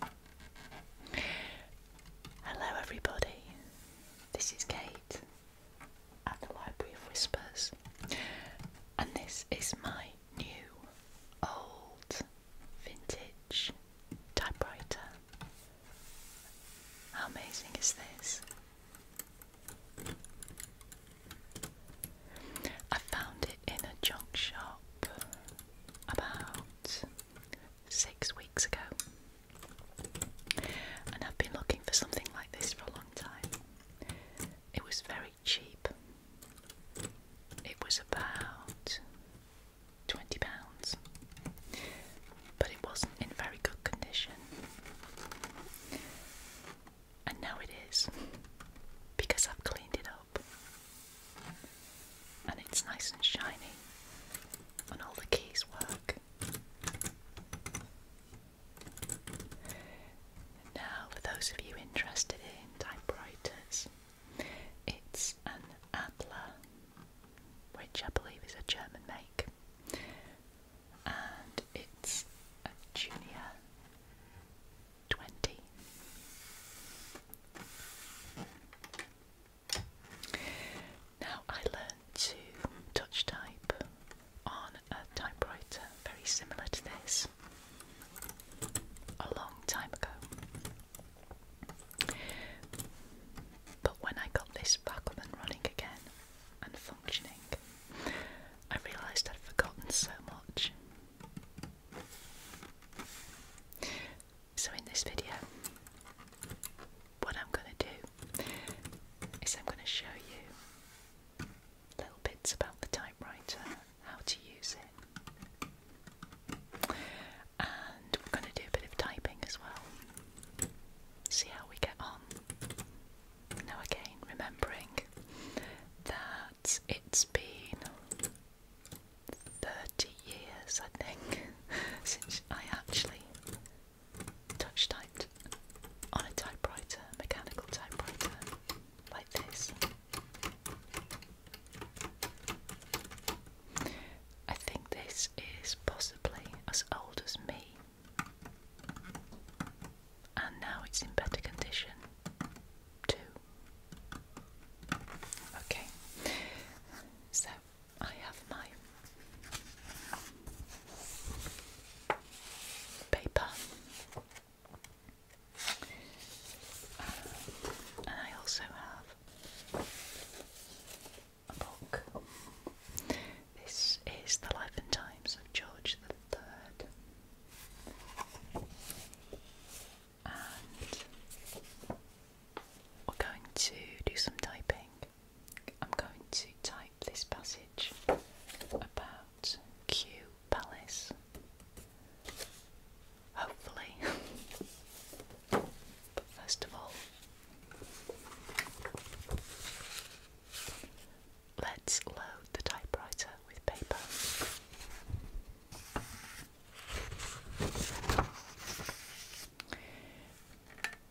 Hello, everybody. This is Kate at the Library of Whispers, and this is my new old vintage typewriter. How amazing is this? I found it in a junk shop about six weeks ago. And I've been looking for something like this for a long time. It was very cheap. It was about £20, but it wasn't in very good condition. And now it is because I've cleaned it up. And it's nice and shiny, and all the keys work. now, for those of you interested in typewriters, it's an Adler, which I believe is a German make, and it's a Junior 20. Now, I learned to touch type on a typewriter very similar to this a long time ago. But when I got this back up and running again and functioning, I realised I'd forgotten so much. So in this video, what I'm going to do is I'm going to show you little bits about the typewriter, how to use it, and we're going to do a bit of typing as well. See how we get on. Now again, remembering that it's been 30 years, I think, since I actually touch typed on a typewriter, mechanical typewriter, like this. I think this is possibly as old as me, and now it's in better condition too. Okay, so I have my paper, uh, and I also have a book. This is the life and times of George the Third we're going to do some typing. I'm going to type this passage about Q Palace. Hopefully. but first of all, let's load the typewriter with paper.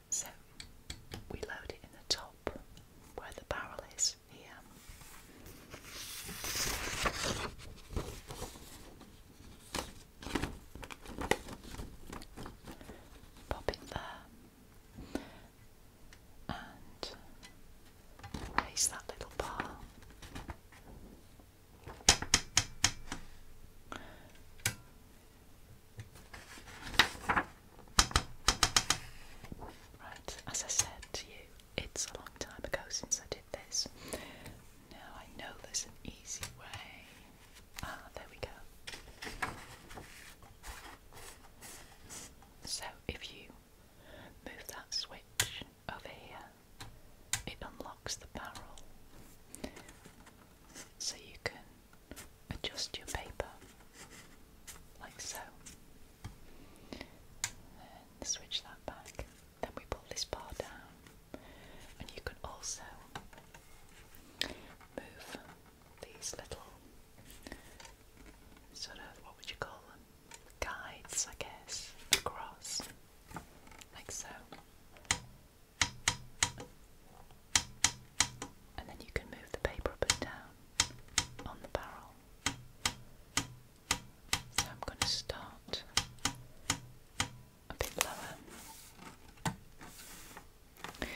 So we load it in the top where the barrel is here. Pop it there and place that little bar Right, as I said to you, it's a long time ago since I did this. Now I know there's an easy way. Ah, there we go. So if you move that switch over here, it unlocks the barrel so you can adjust your paper like so. Then switch that back. Then we pull this bar down, and you can also move these little sort of what would you call them? Guides, I guess, across like so. And then you can move the paper up and down on the barrel. So I'm going to start a bit lower. And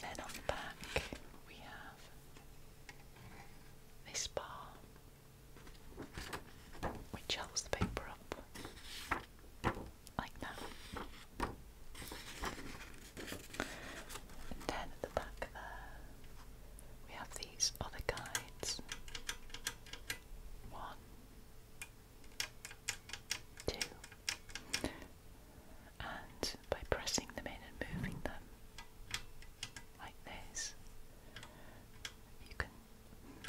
then on the back we have this bar which holds the paper up like that. And then at the back there, we have these other guides. One, two, and by pressing them in and moving them like this, you can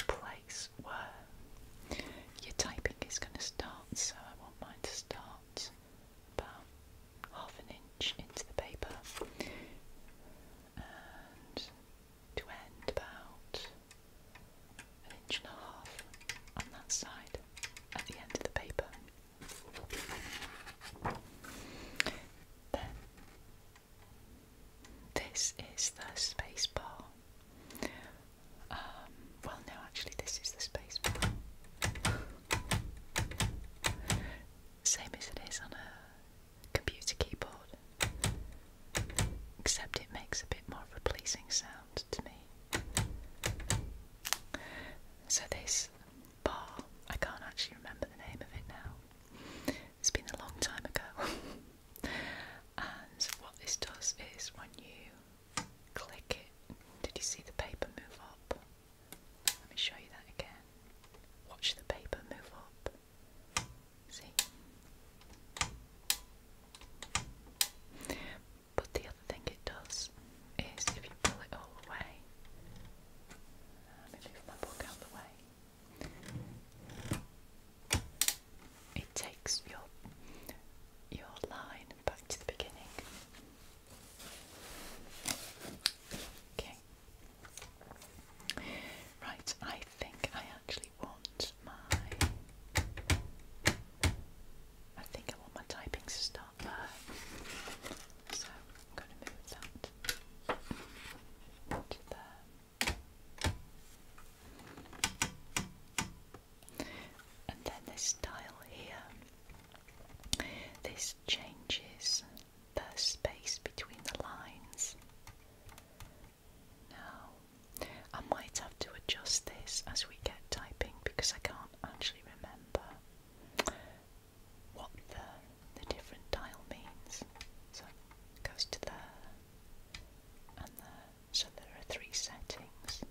place where your typing is going to start, so I want mine to start about half an inch into the paper and to end about an inch and a half on that side at the end of the paper. Then this is the space bar. Um, well, no, actually, this is the space bar. Same as it is on a computer keyboard, except it makes a bit more of a pleasing sound to me. So, this bar, I can't actually remember the name of it now, it's been a long time ago. and what this does is when you click it, did you see the paper move up? Let me show you that again. Watch the paper move up. See? But the other thing it does is if you pull it all the way, let me move my book out of the way. It takes your your line back to the beginning. Okay. Right, I think I actually want my I think I want my typing to start there. So I'm gonna move that to there. And then this tile here, this changes the space between the lines. Now, I might have to adjust this as we get typing because I can't actually remember what the, the different dial means. So goes to there and there. So there are three settings.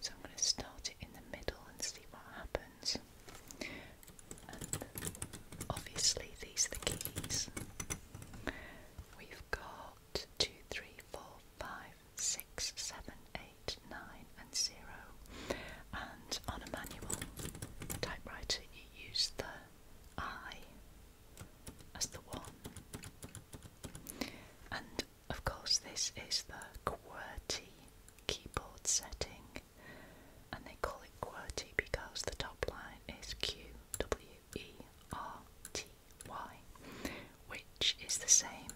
So I'm going to start it in the middle and see what happens. And obviously these are the keys. We've got two, three, four, five, six, seven, eight, nine, and 0. And on a manual typewriter you use the I as the one. And of course, this is the QWERTY keyboard setting, and they call it QWERTY because the top line is Q W E R T Y, which is the same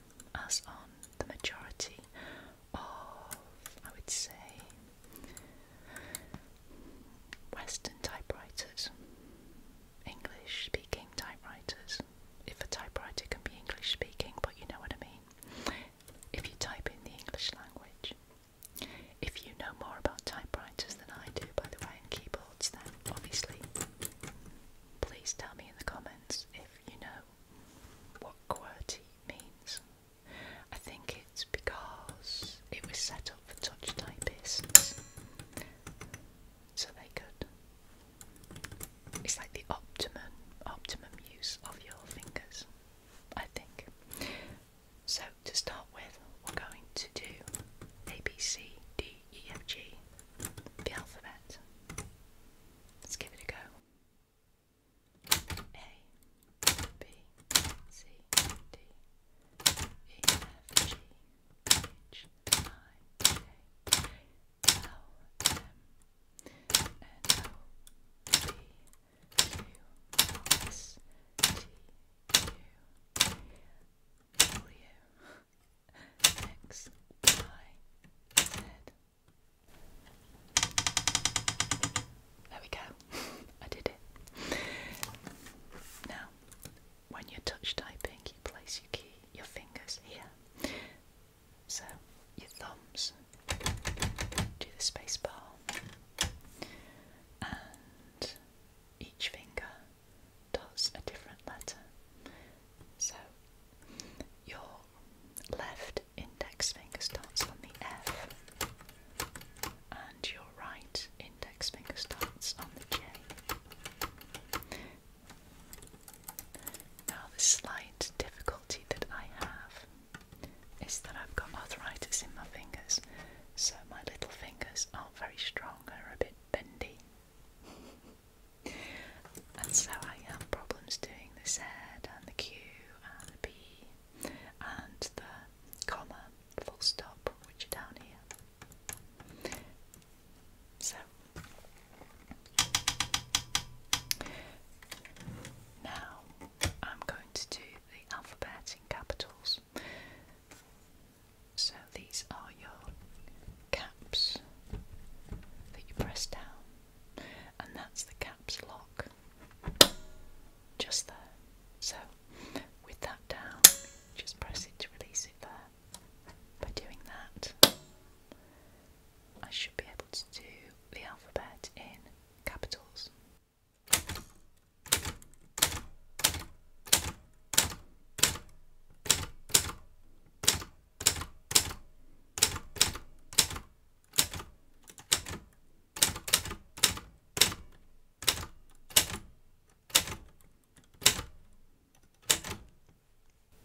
as on the majority of, I would say, Western typewriters, English speaking typewriters. If a typewriter can be English speaking, but you know what I mean. If you type in the English language. If you know more about typewriters than I do, by the way, and keyboards, then obviously, please tell me in the comments if you know what querty means. I think it's because it was set up for touch typists so they could. It's like the optimum optimum use of your fingers, I think. So to start with, we're going to do A B C D E F G, the alphabet. Let's give it a go. A B C D there we go. I did it. Now when you're touch typing, you place your key, your fingers here. So your thumbs do the space bar, and each finger does a different letter. So your left index finger starts on the F and your right index finger starts on the J. Now, the slight difficulty that I have is that I've got arthritis in my fingers, so my little fingers aren't very strong, they're a bit bendy. and so I have problems doing the Z and the Q and the P and the comma, full stop, which are down here. So now I'm going to do the alphabet in capitals. So these are your caps that you press down, and that's the caps lock just there. So with that down, just press it to release it there. By doing that, I should be able to do the alphabet in capitals.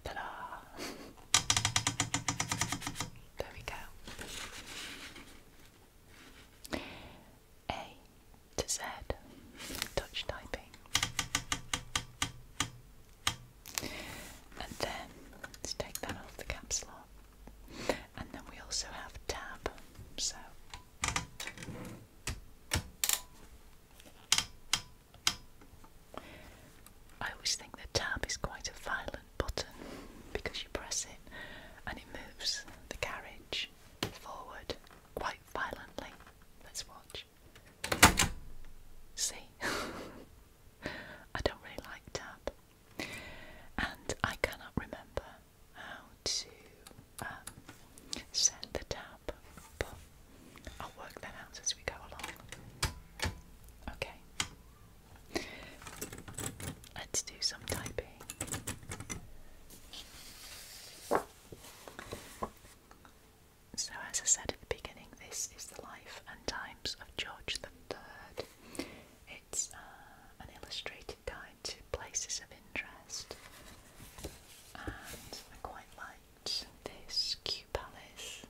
Ta-da! there we go. A to Z, touch typing. And then let's take that off the caps lock. And then we also have tab. So I always think the tab is quite a violent button because you press it and it moves the carriage forward quite violently. Let's watch. See? I don't really like tab. And I cannot remember how to um, set the tap, I'll work that out as we go along. Okay, let's do some typing. So, as I said at the beginning, this is the life and times of George the Third. It's uh, an illustrated guide to places of interest. And I quite liked this Kew Palace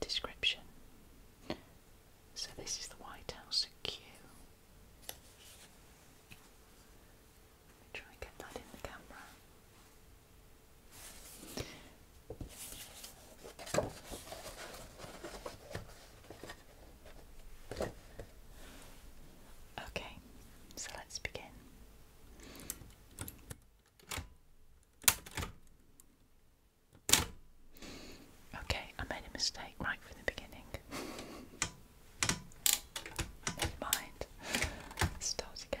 description. So, this is the White House at Kew. try and get that in the camera. Okay, so let's begin. Okay, I made a mistake right from the beginning. mind. start again.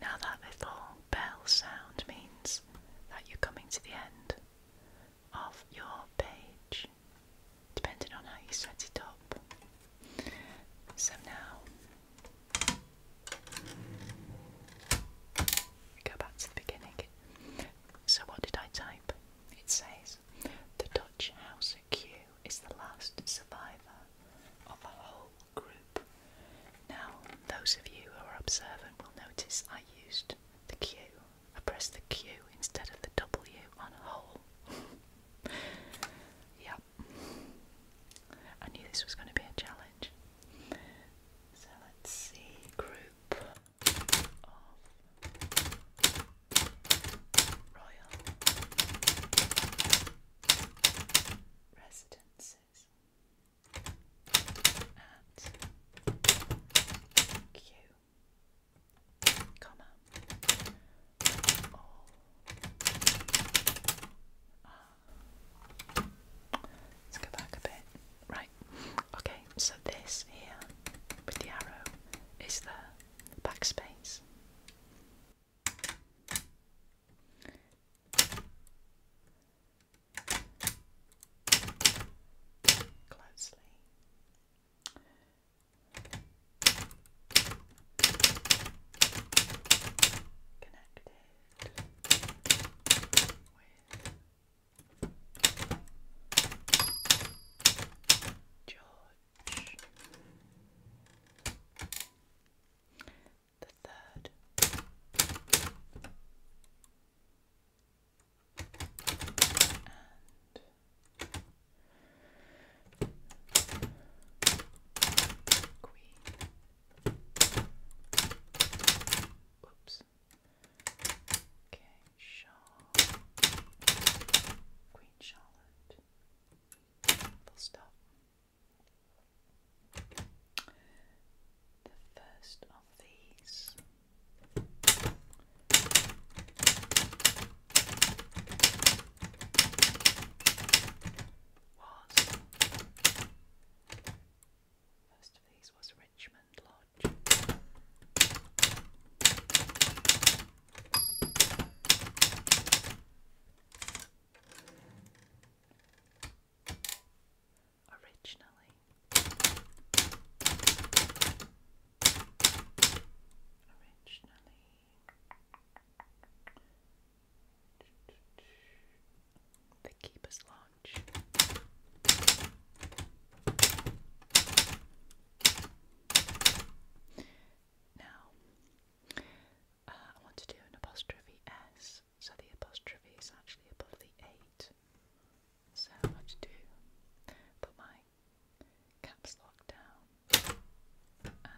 Now that little bell sound means that you're coming to the end of your page, depending on how you set it up. So now go back to the beginning. So, what did I type? It says the Dutch house at is the last survivor of a whole group. Now, those of you who are observant will notice I used the Q. I pressed the Q instead of the W on whole. yep. I knew this was going to be a challenge. So let's see, group of royal residences and Q, comma, all Let's go back a bit. Right, okay, so this here with the arrow is the backspace closely. Connected with George the third. And queen. Whoops. Okay, Charlotte. Queen Charlotte. Full stop the first of these. Was first of these was Richmond Lodge originally. Originally. The Keeper's Launch. Now, uh, I want to do an apostrophe S so the apostrophe is actually above the 8. So I had to do, put my caps lock down and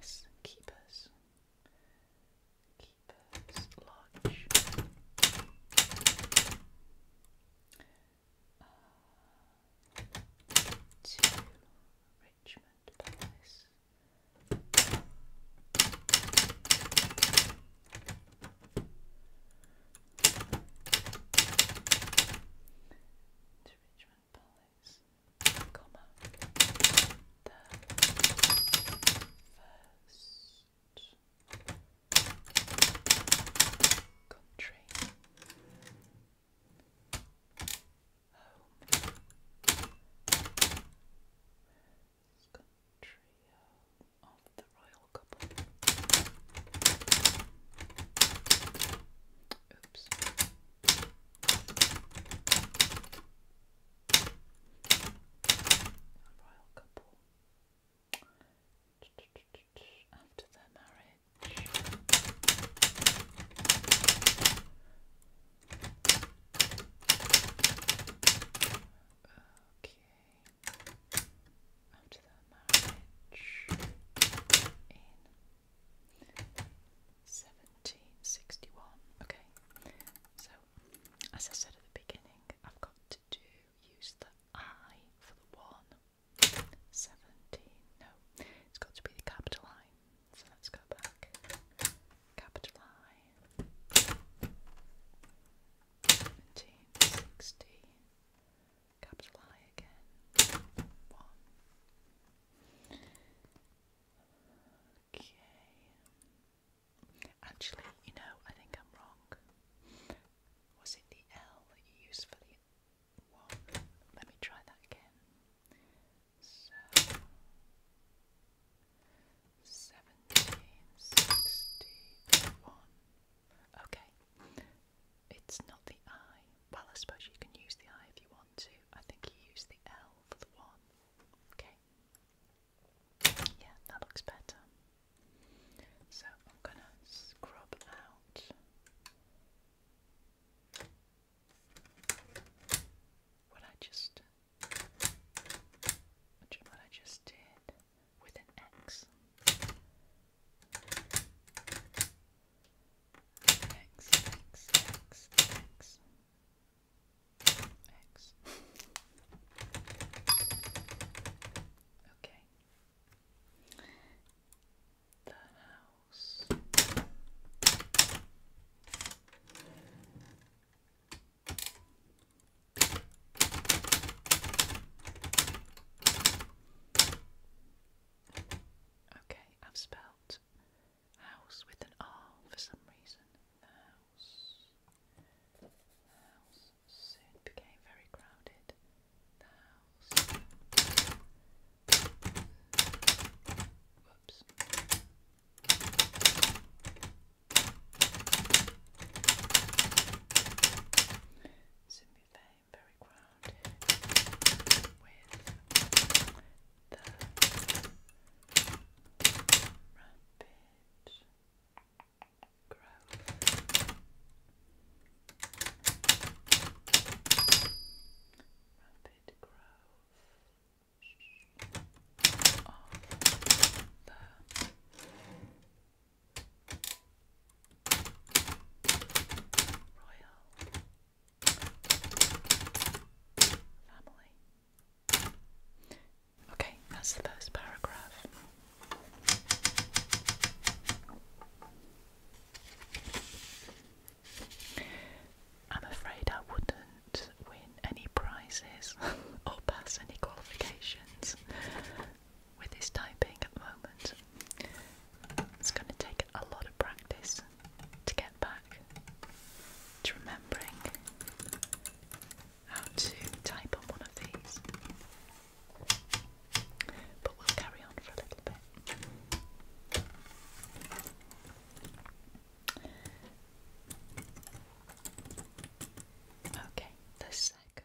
S keepers, keepers lodge. Uh, to Richmond Palace to Richmond Palace, comma, the first country home it of the royal couple. Oops. royal couple. After their marriage. Okay after their marriage in 1761. Okay, so as I said at the beginning, I've got to do use the I for the one. 17, no, it's got to be the capital I. So let's go back. Capital I. 1760, capital I again, 1. Okay. Actually, you know, I think I'm wrong. Was it the L that you used one? Let me try that again. So 1761. Okay. It's not the I. Well, I suppose you can use the I if you want to. I think you use the L for the 1. Okay. Yeah, that looks better. So I'm going to scrub out. What I just, what I just did, with an X. X, X, X, X. X. okay. The house. Okay, I've spelled house with an R for some reason. The house. soon became very crowded. The house. Whoops. Simply Fame Berry with the Rampage Growth Rapid growth of the Royal family. Okay, that's the first paragraph. I'm afraid I wouldn't win any prizes or pass any qualifications, with his typing at the moment. It's going to take a lot of practice to get back to remembering how to type on one of these. But we'll carry on for a little bit. Okay, the second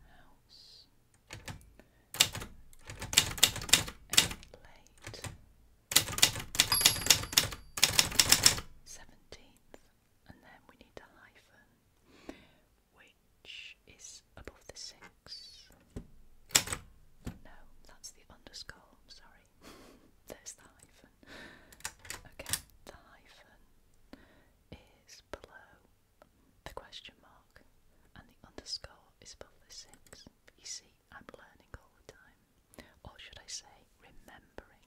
house. And 17th, and then we need a hyphen, which is above the 6. No, that's the underscore, I'm sorry. There's the hyphen. Okay, the hyphen is below the question mark, and the underscore is above the six. You see, I'm learning all the time. Or should I say, remembering.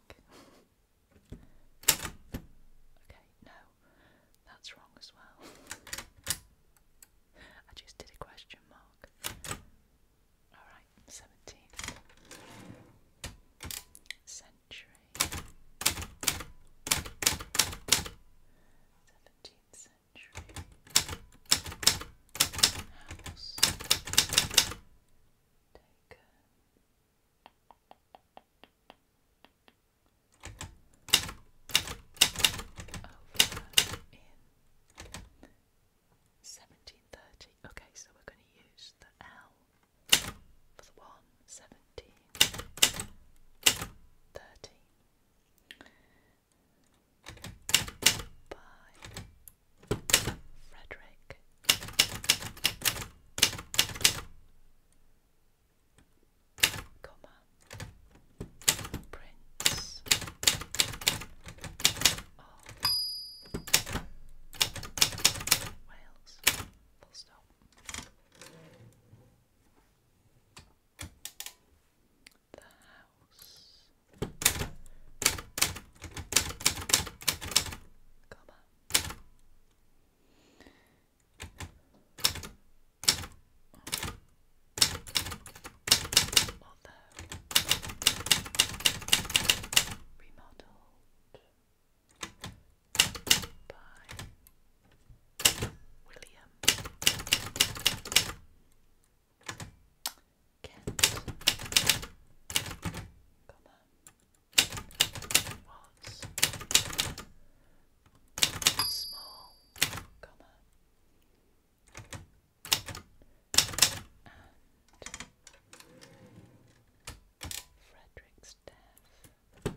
okay, no, that's wrong as well. I just did a question mark. Alright, 17. 17th century. House. Taken. Over in 1730. Okay, so we're going to use the L for the one, seventeen, thirteen Frederick. Comma Prince of Wales. Full stop. The house. Come on. remodeled by William Kent, comma, was small, comma, and Frederick's death. And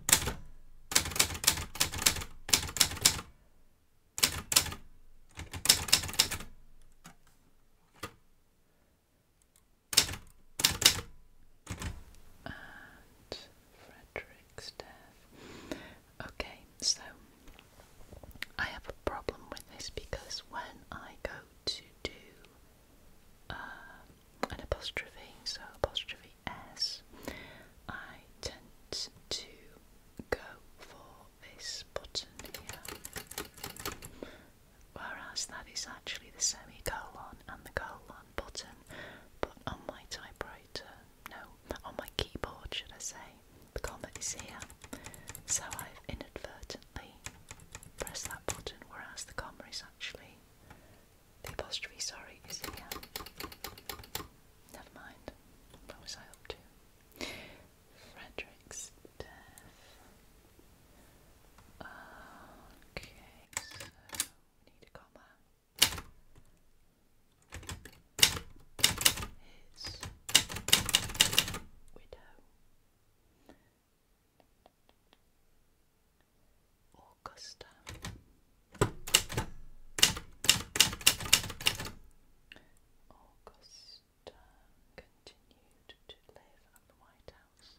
Frederick's death. Okay, so I have a problem with this because when I go to do uh, an apostrophe, so apostrophe S, I tend to go for this button here, whereas that is actually the semicolon and the colon button, but on my typewriter, no, on my keyboard should I say, the comma is here, so I've inadvertently pressed that button, whereas the comma is actually the apostrophe, sorry, is here. Never mind. What was I up to? Frederick's death. Okay, need a comma. His widow. Augusta. continued to live at the White House.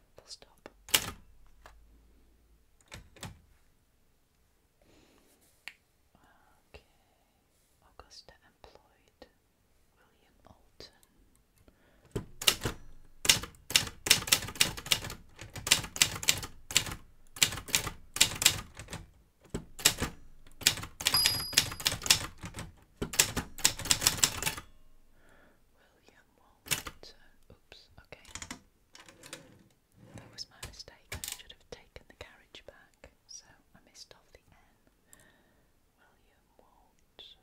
full stop. Augusta employed William Alton. William Walton. Oops, okay. That was my mistake. I should have taken the carriage back, so I missed off the N. William Walton,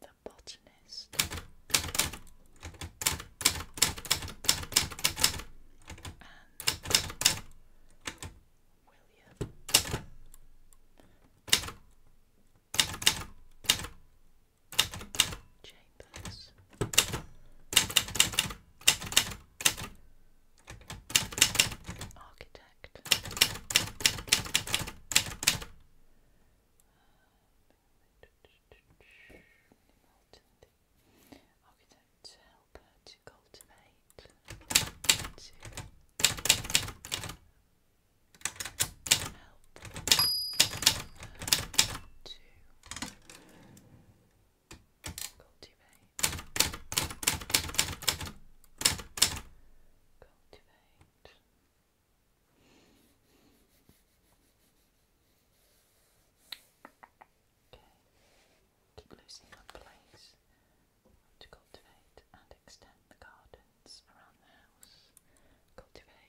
the botanist. And William Chambers. Architect. Architect to help her to cultivate. To help her to Cultivate. Cultivate. Okay. Keep losing my place. To cultivate and extend the gardens around the house. Cultivate.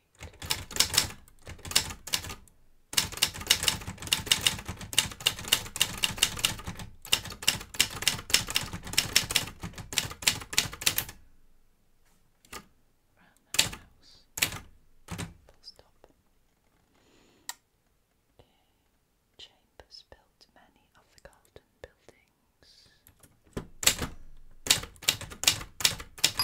Around the house. Full stop. Okay. Chambers built many of the garden buildings. Chambers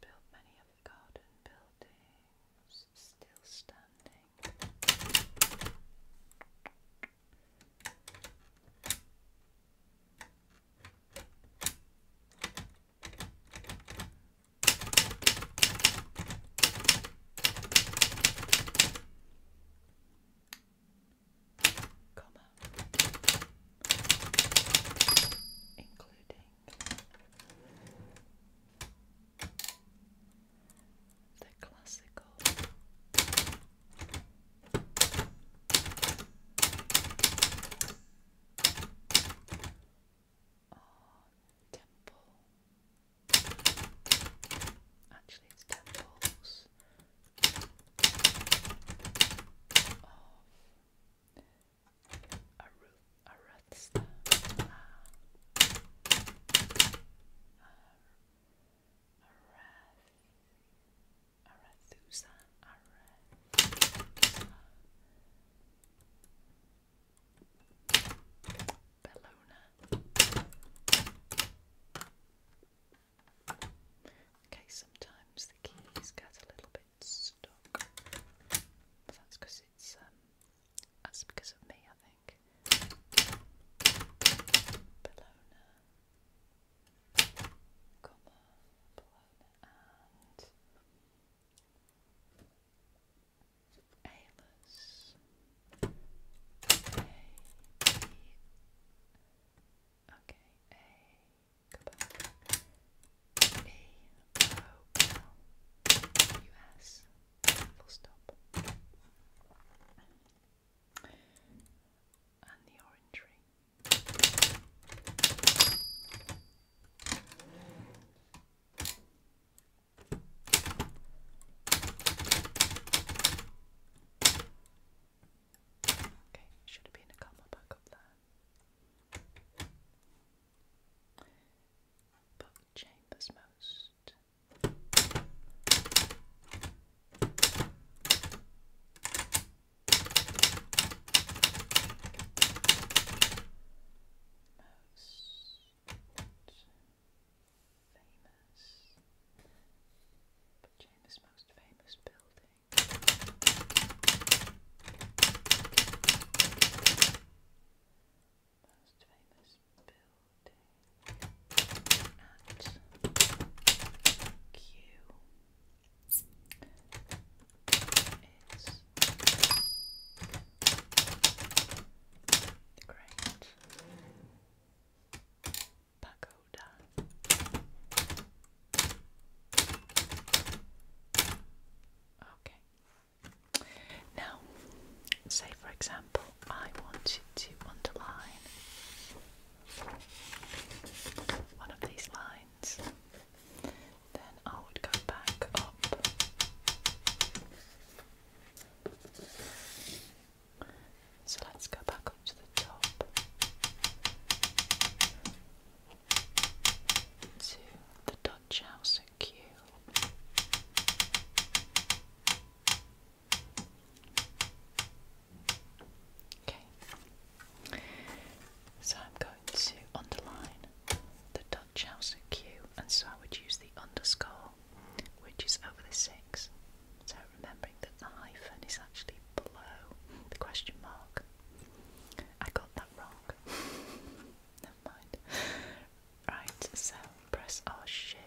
built many of the garden buildings still standing comma including the classical Oh, temple. Actually, it's temples. Oh, a root, a rootstone. Ah. Arethusa, Arethusa, Bellona. Okay, sometimes the keys get a little bit stuck, that's because it's um, that's because of me, I think. Bellona. Comma, Blown and Ailers. A, B, okay, A, full stop. And the orange ring. Okay, should have been a comma back up there. But chambers most. Okay, famous James' most famous building. Most famous building at Q the Great Pagoda. Okay. Now, say for example, I wanted to underline one of these lines, then I would go back up so let's go back up to the top to the Dutch House at Okay. So I'm going to underline the Dutch House of Q, and so I would use the underscore, which is over the six. So remembering that the hyphen is actually below the question mark. I got that wrong. Never mind. Right, so press R Shift.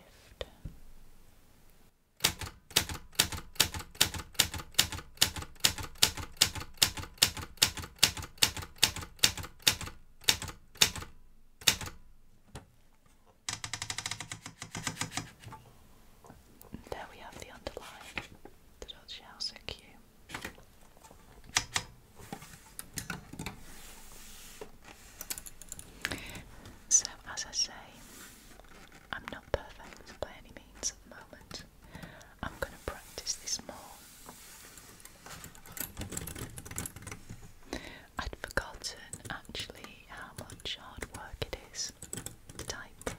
There we have the underline. The Dutch house are So, as I say, I'm not perfect by any means at the moment. I'm going to practice this more. I'd forgotten actually how much hard work it is to type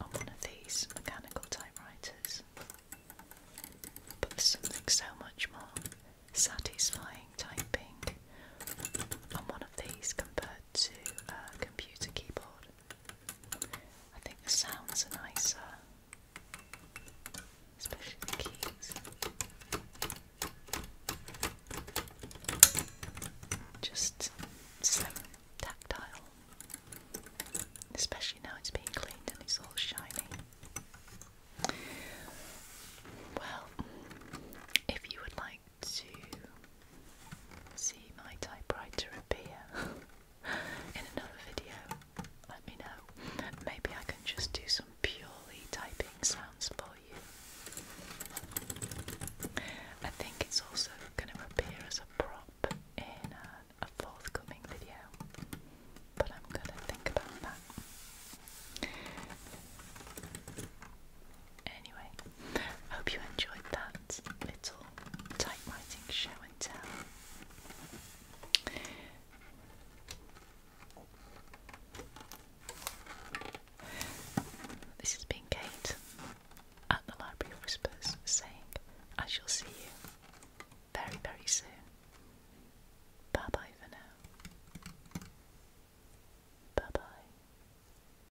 on one of these mechanical typewriters, but there's something so much more satisfying typing on one of these compared to a computer keyboard. I think the sounds are nicer, especially the keys. Just so tactile, especially now it's being cleaned and it's all shiny. Well, if you would like to see my typewriter appear in another video, let me know. Maybe I can just do some purely typing sounds for you. I think it's also going to appear as a prop in uh, a, forthcoming video, but I'm going to think about that. Anyway, I hope you enjoyed that little typewriting show and tell. This has been Kate at the Library Whispers saying, I shall see you very, very soon. Bye bye for now. Bye bye.